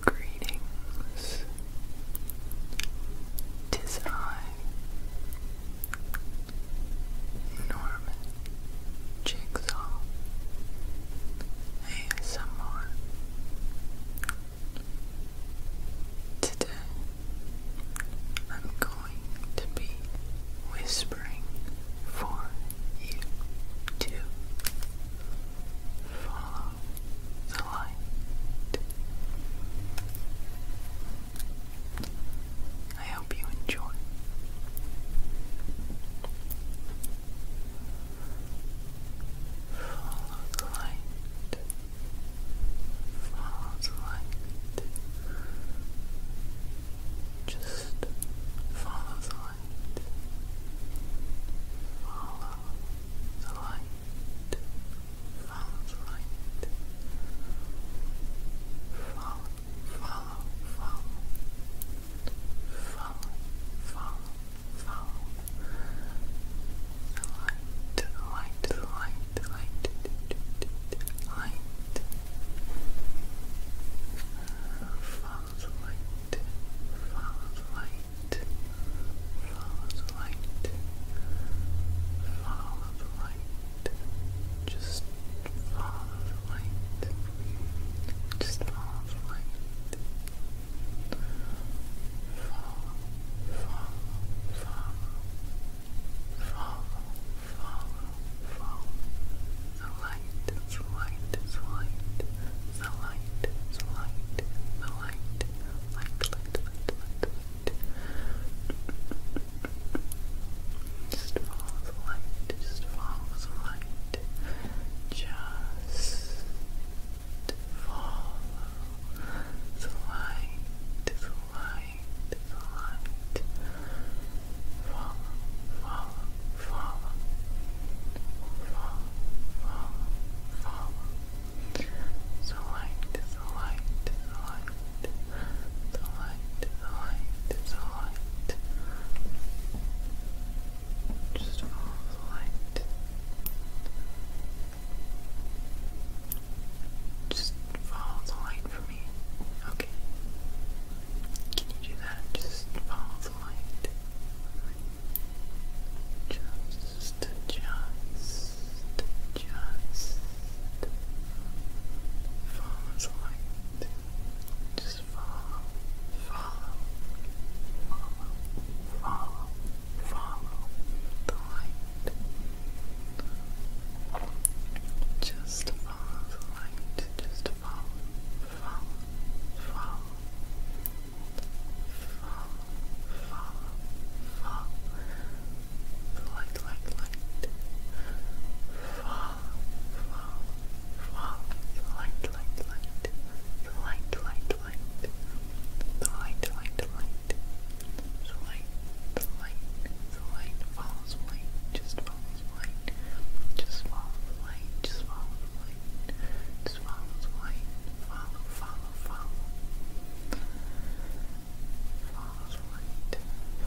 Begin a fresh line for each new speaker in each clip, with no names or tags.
Greetings. Tis I, Norman Jigsaw ASMR, Today, I'm going to be whispering for you to follow the light. I hope you enjoy. Follow the light. Follow the light. Just follow the light. Follow the light. Follow the light. Follow, follow, follow. Follow, follow follow the light, the light, the light, the light, the light. Follow the light, follow the light, follow the light, follow the light, just follow the light, just follow the light follow, follow, follow, follow, the light, the light, the light, the light, the light, the light, light, light, light, light. Just follow the light, just follow the light. Just follow the light, the light, the light. Follow, follow, follow. Follow, follow, follow. The light, the light, the light. The light, the light, the light. Just follow the light. Just follow the light for me. Okay. Can you do that? Just follow the light. Just, just, just follow the light. Just follow, follow, follow, follow follow the light. Just follow the light. Just follow, follow, follow, follow, follow, follow. The light, light, light. Follow, follow, follow. The light, light, light. The light, light, light, the light, the light, the light, the light, the light, the light, follows light, just follows light, just follow light, just follow light, just follow light, follow, follow, follow, follow light,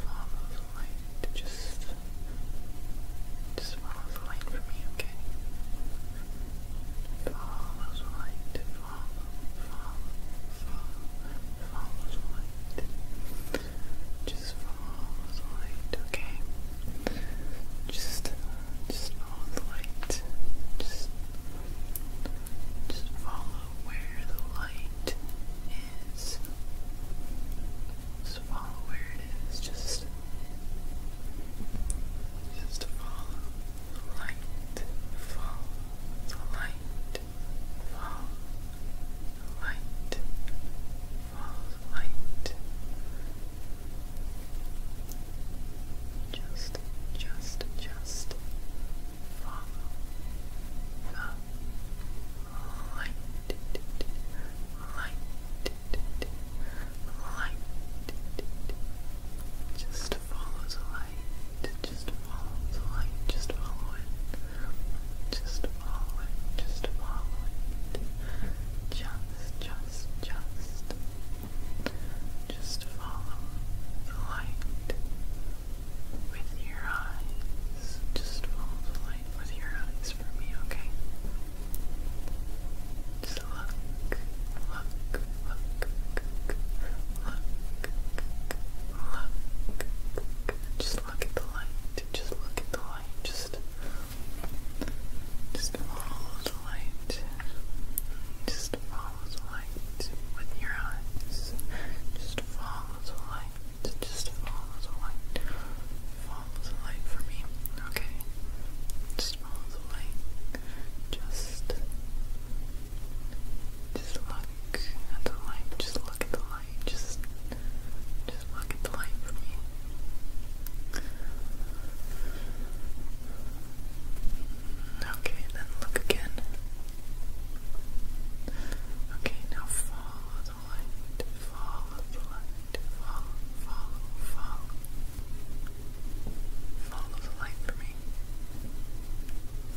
follow light, just, just follow light for me, okay? Follows light, follow, follow, follow, follows light. Just follows light, okay? Just, just follow the light. Just, just follow where the light is. Just follow where it is. Just, just follow light fall, light fall, light fall, light. Just, just, just follow the light, light. Light, light just follows the light, just follow the light, just follow it, just follow it, just follow it, just, just, just, just follow the light with your eyes, just follow the light with your eyes for me, okay? Just look, look, look, look, look, look. Just look at the light. Just look at the light. Just, just follow the light. Just follow the light with your eyes. Just follow the light. Just follow the light. Follow the light for me. Okay just miles away. Just, just look at the light. Just look at the light. Just, just look at the light for me. Okay, then look again. Okay, now follow the light. Follow the light. Follow, follow, follow. Follow the light for me.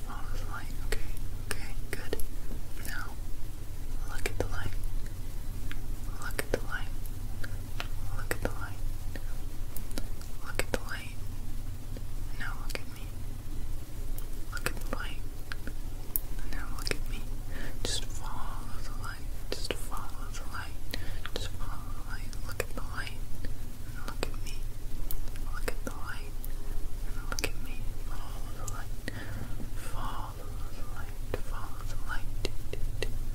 Follow the light. Okay. Okay. Good. Now, look at the light. Look at the light. Look at the light. Look at the light. Now look at me. Look at the light. Now look at me. Just follow the light. Just follow the light light. Just follow the light. Look at the light. look at me. Look at the light. look at me. Follow the light. Follow the light. Follow the light.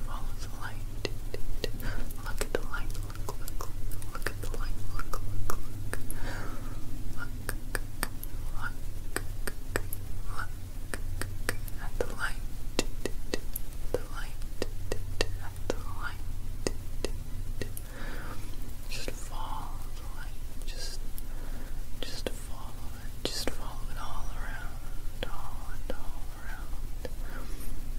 Follow the light. Look at the light. Look, look, look. at the light. Look, look, look. Look, look, look. Look at the light. The light just follow the light, just just follow it, just follow it all around, all and all around.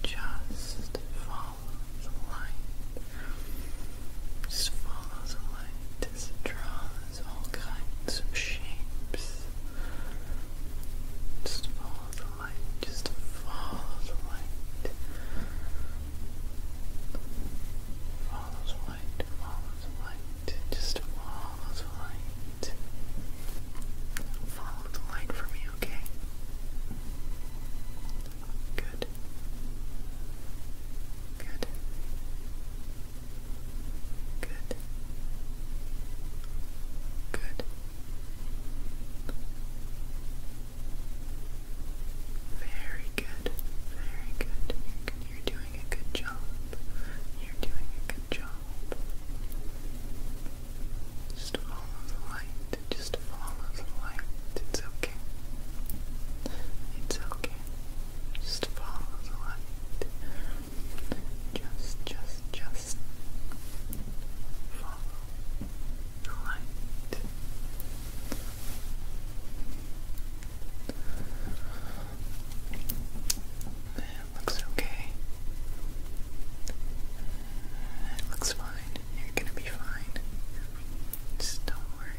Just follow the light. Just follow the light it draws all kinds of shapes. Just follow the the light, just follow the light. Follow the light, follow the light, just follow the light. Follow the light for me, okay? Good. Good. Good. Good. Very good. Very good. You're, doing a good job. You're doing a good job. Just follow the light. Just follow the light. It's okay. It's okay. Just follow the light. Just, just, just. Follow the light. It looks okay. It looks fine. You're gonna be fine. Just don't worry.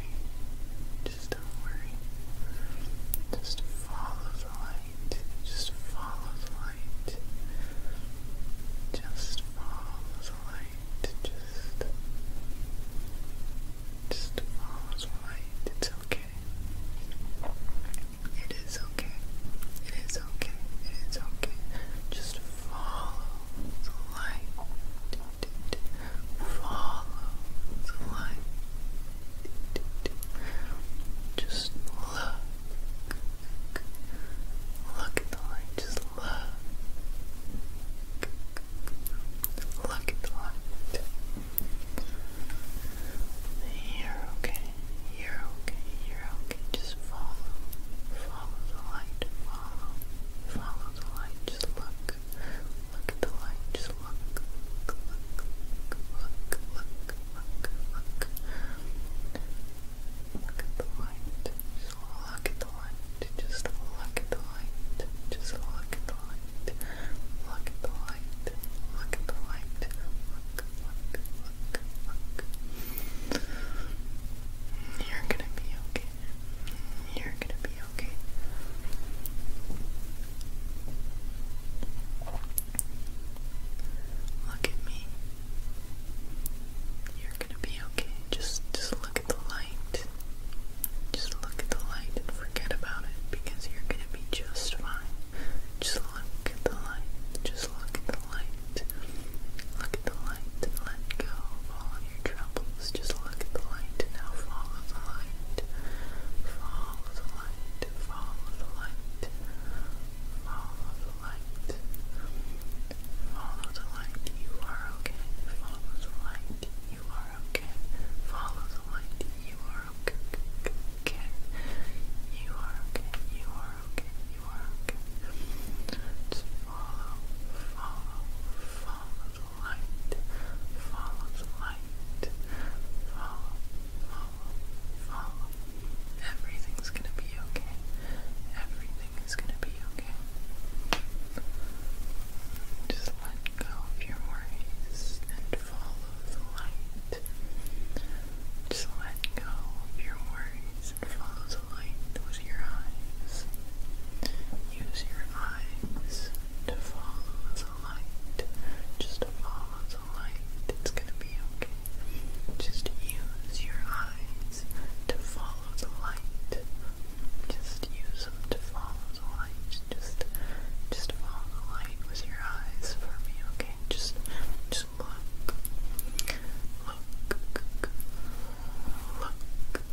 Just don't worry. Just follow the light. Just follow the light. Just follow the light. Just, just follow the light. It's okay. It is okay. It is okay. It is okay. Just follow the light. Follow the light. Just look Look at the light, just look. Look at the light. You're okay, you're okay, you're okay. Just follow, follow the light, follow, follow the light, just look. Look at the light, just look, look, look, look, look, look, look. Look at the light. Just look at the light. Just look at the light. Just look at the light. Look at the light. Look at the light. Look, look, look, look. You're gonna be okay. You're gonna be okay. Look at me. You're gonna be okay. Just just look at the light. Just look at the light and forget about it because you're gonna be just fine. Just look at the light. Just look at the light. Look at the light let go of all your troubles. Just look at the light and now follow the light. Follow the light. Follow the the light. Follow the light. Follow the light. You are okay. Follow the light. You are okay. Follow the light. You are okay. You are okay. You are okay. You are okay. follow, follow, follow the light. Follow the light. Follow, follow, follow. Everything's gonna be okay. Everything gonna be okay. Just let go of your worries and follow the light. Just let go of your worries and follow the light with your eyes. Use your eyes to follow the light. Just follow the light. It's gonna be okay. Just use your eyes to follow the light. Just use them to follow the light. Just just follow the light with your eyes for me, okay? Just just look. Look. Look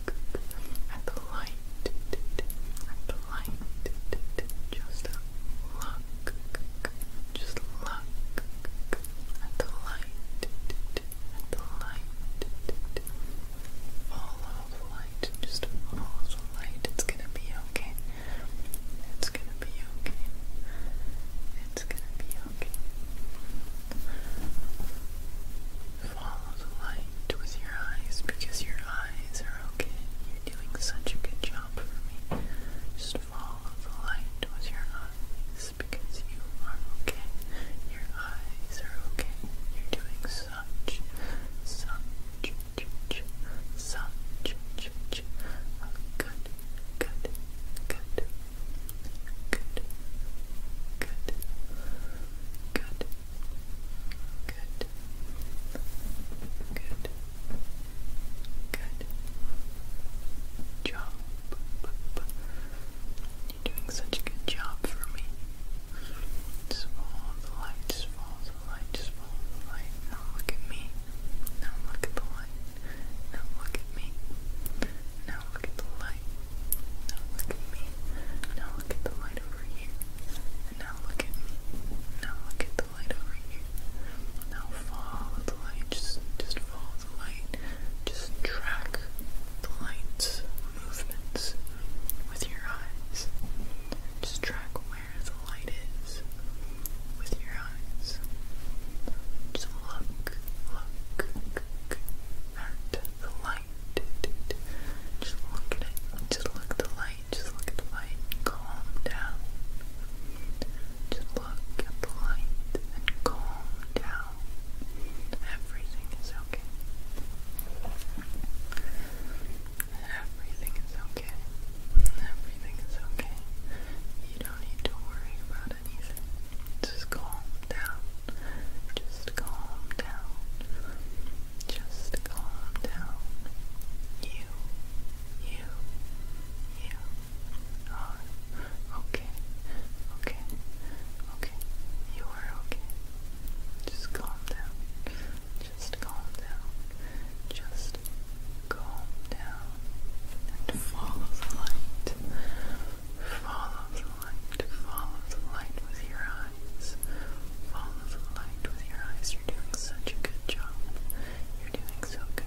at the light. At the light. Just look just look at the light, at the light, follow the light, just follow the light, it's gonna be okay, it's gonna be okay, it's gonna be okay. Follow the light with your eyes because your eyes are okay. You're doing such a good job for me. Just follow the light with your eyes because you are okay. Your eyes are okay. You're doing such, such, such, such, such good, good, good, good, good, good, good, good, good. Good job. You're doing such a good job for me. Just follow the lights, follow the lights, follow the light. Now look at me. Now look at the light. Now look at me. Now look at the light. Now look at me. Now look at the light over here. And now look at me. Now look at the the light over here. Now follow the light. Just, just follow the light. Just track the light's movements with your eyes. Just track where the light is with your eyes. Just look, look, at the light. Just look at it. Just look the light. Just look at the light. Calm down to look at the light and calm down. Everything is okay. Everything is okay. Everything is okay. You don't need to worry about anything. Just calm down. Just calm down. Just calm down. You, you, you, Oh, okay, okay, okay. You are okay. Just calm down. Just calm down. Just calm down. And follow the light. Follow the light. Follow the light with your eyes. Follow the light with your eyes. You're doing such a good job. You're doing so good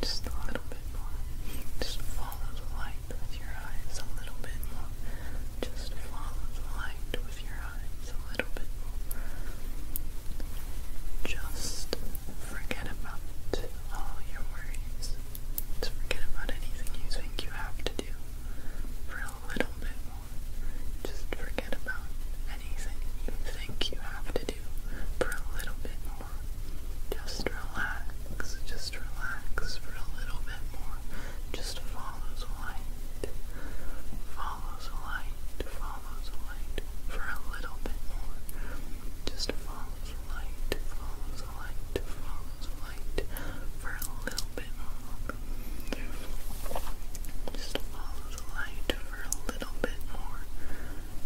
Just a little bit more. Just follow the light with your eyes a little bit more. Just follow the light with your eyes a little bit more. Just forget about all your worries. Just forget about anything you think you have to do for a little bit more. Just forget about anything you think you have to do you for a little bit more. Just relax, just relax for a little bit more. Just follow the light, follow the light, follow the light for a little bit more. Just follow the light, follow the light, follow the light for a little bit more. Just follow the light for a little bit more.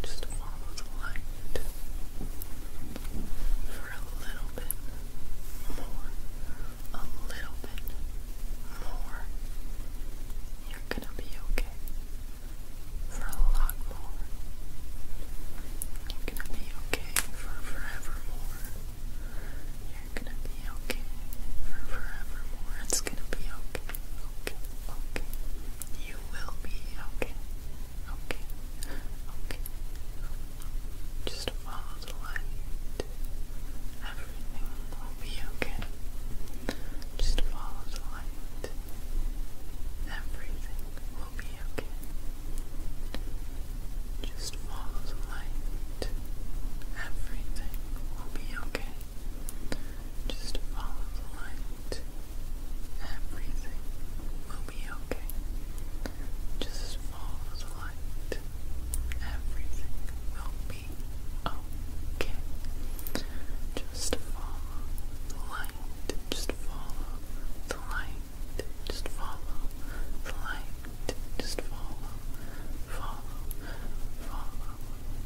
Just follow the light for a little bit more. A little bit more. You're gonna be okay. For a lot more. You're gonna be okay for forevermore. You're gonna be okay for forevermore. It's gonna be okay. Okay. Okay. You will be okay. Okay. Okay. Just follow the light. Everything will be okay. Just follow the light. Everything will be okay. Just follow the light. Everything will be okay. Just follow the light. Everything will be okay. Just follow the light. Everything will be okay. Just follow the light. Just follow the light. Just follow the light. Just follow. Follow. Follow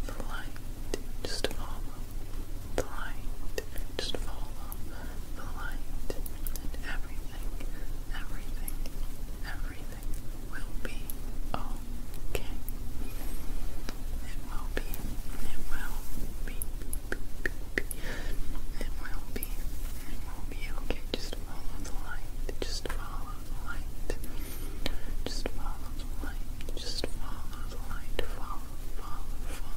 the light. Just follow the light, just follow the light, everything, everything, everything will be okay. It will be, it will be, be, be, be. it will be, it will be okay. Just follow the light, just follow the light, just follow the light, just follow the light, follow follow, follow,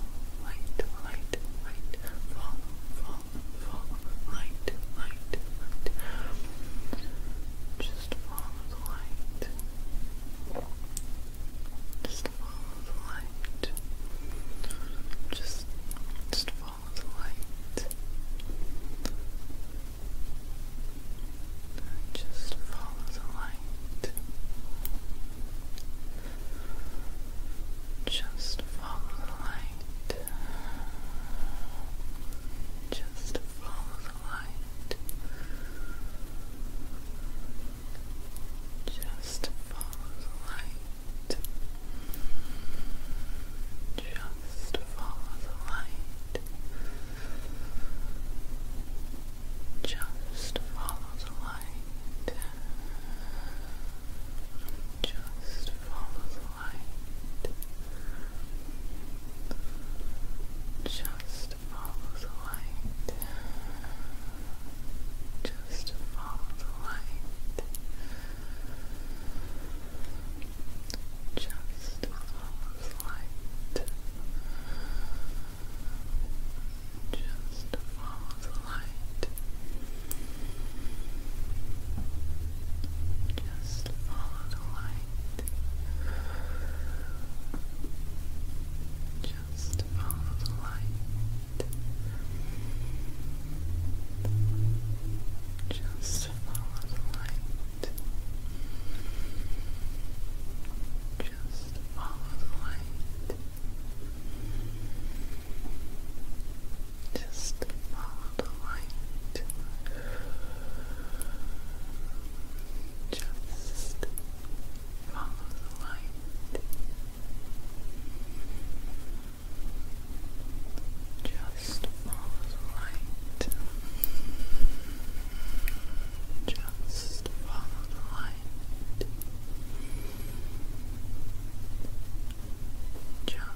light, light, light, follow, follow, follow, light, light, light. Just follow the light. Just follow the light. Just just follow the light. Just follow the light. Just follow the light. Just follow the light. Just follow the light. Just follow the light. Just follow the light. Just follow the light. Just follow the light. Just follow the light. Just follow the light. Just follow the light. Just follow the light. Just follow the light. Just follow the light. Just follow the light. Just follow the light. Just follow the light. Just follow the light. Just just follow the light.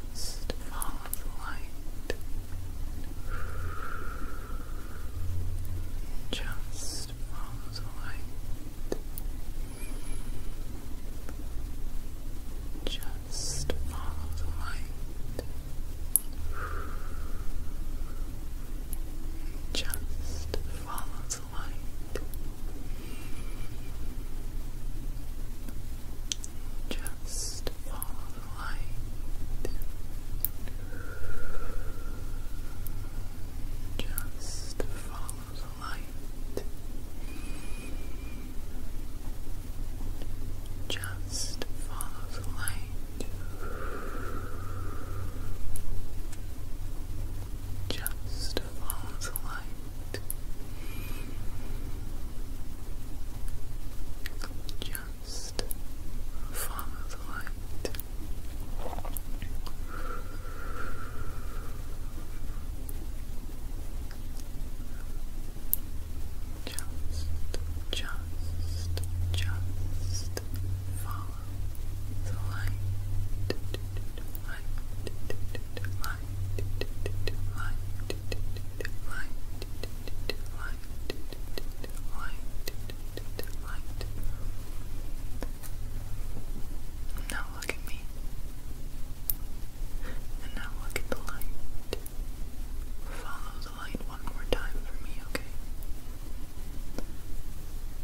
Just follow the light. Just follow the light. Just follow the light. Just Follow the light. Just follow the light. Just follow the light. Just follow the light. Just follow the light. Just follow the light. Just, just, just follow the light, light, light, light, light, light, light, light. Now look at me. And now look at the light. Follow the light one more time for me, okay?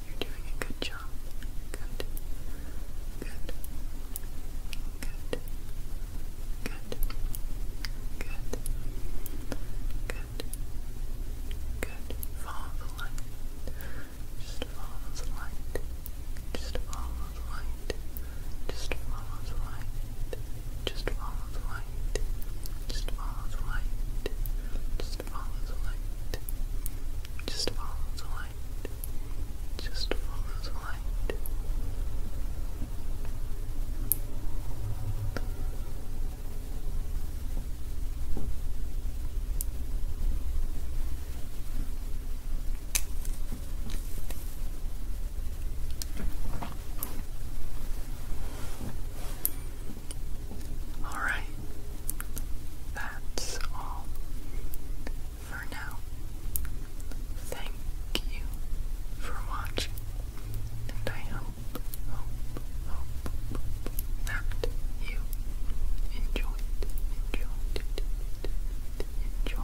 You're doing a good job. Good. Good. Good. Good. Good. Good. Good. Follow the light. Just follow the light. Just follow the light. Just follow the light. Just follow the light. Just follow the light. Just follow the light. Just follow the light. Just follow the light. All right, that's all for now. Thank you for watching, I hope, hope, hope that you enjoyed, enjoyed, enjoyed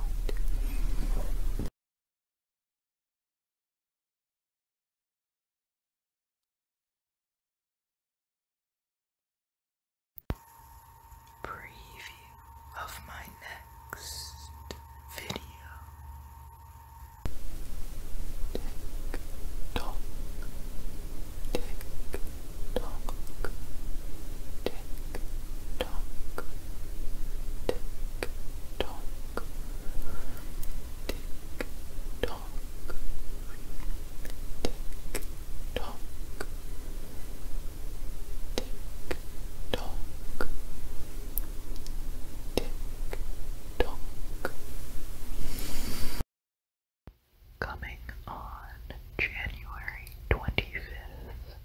preview of my next video. Tick tock, tick tock, tick tock, tick tock, tick tock, tick talk, tick tock, tick tock. Coming on January twenty fifth.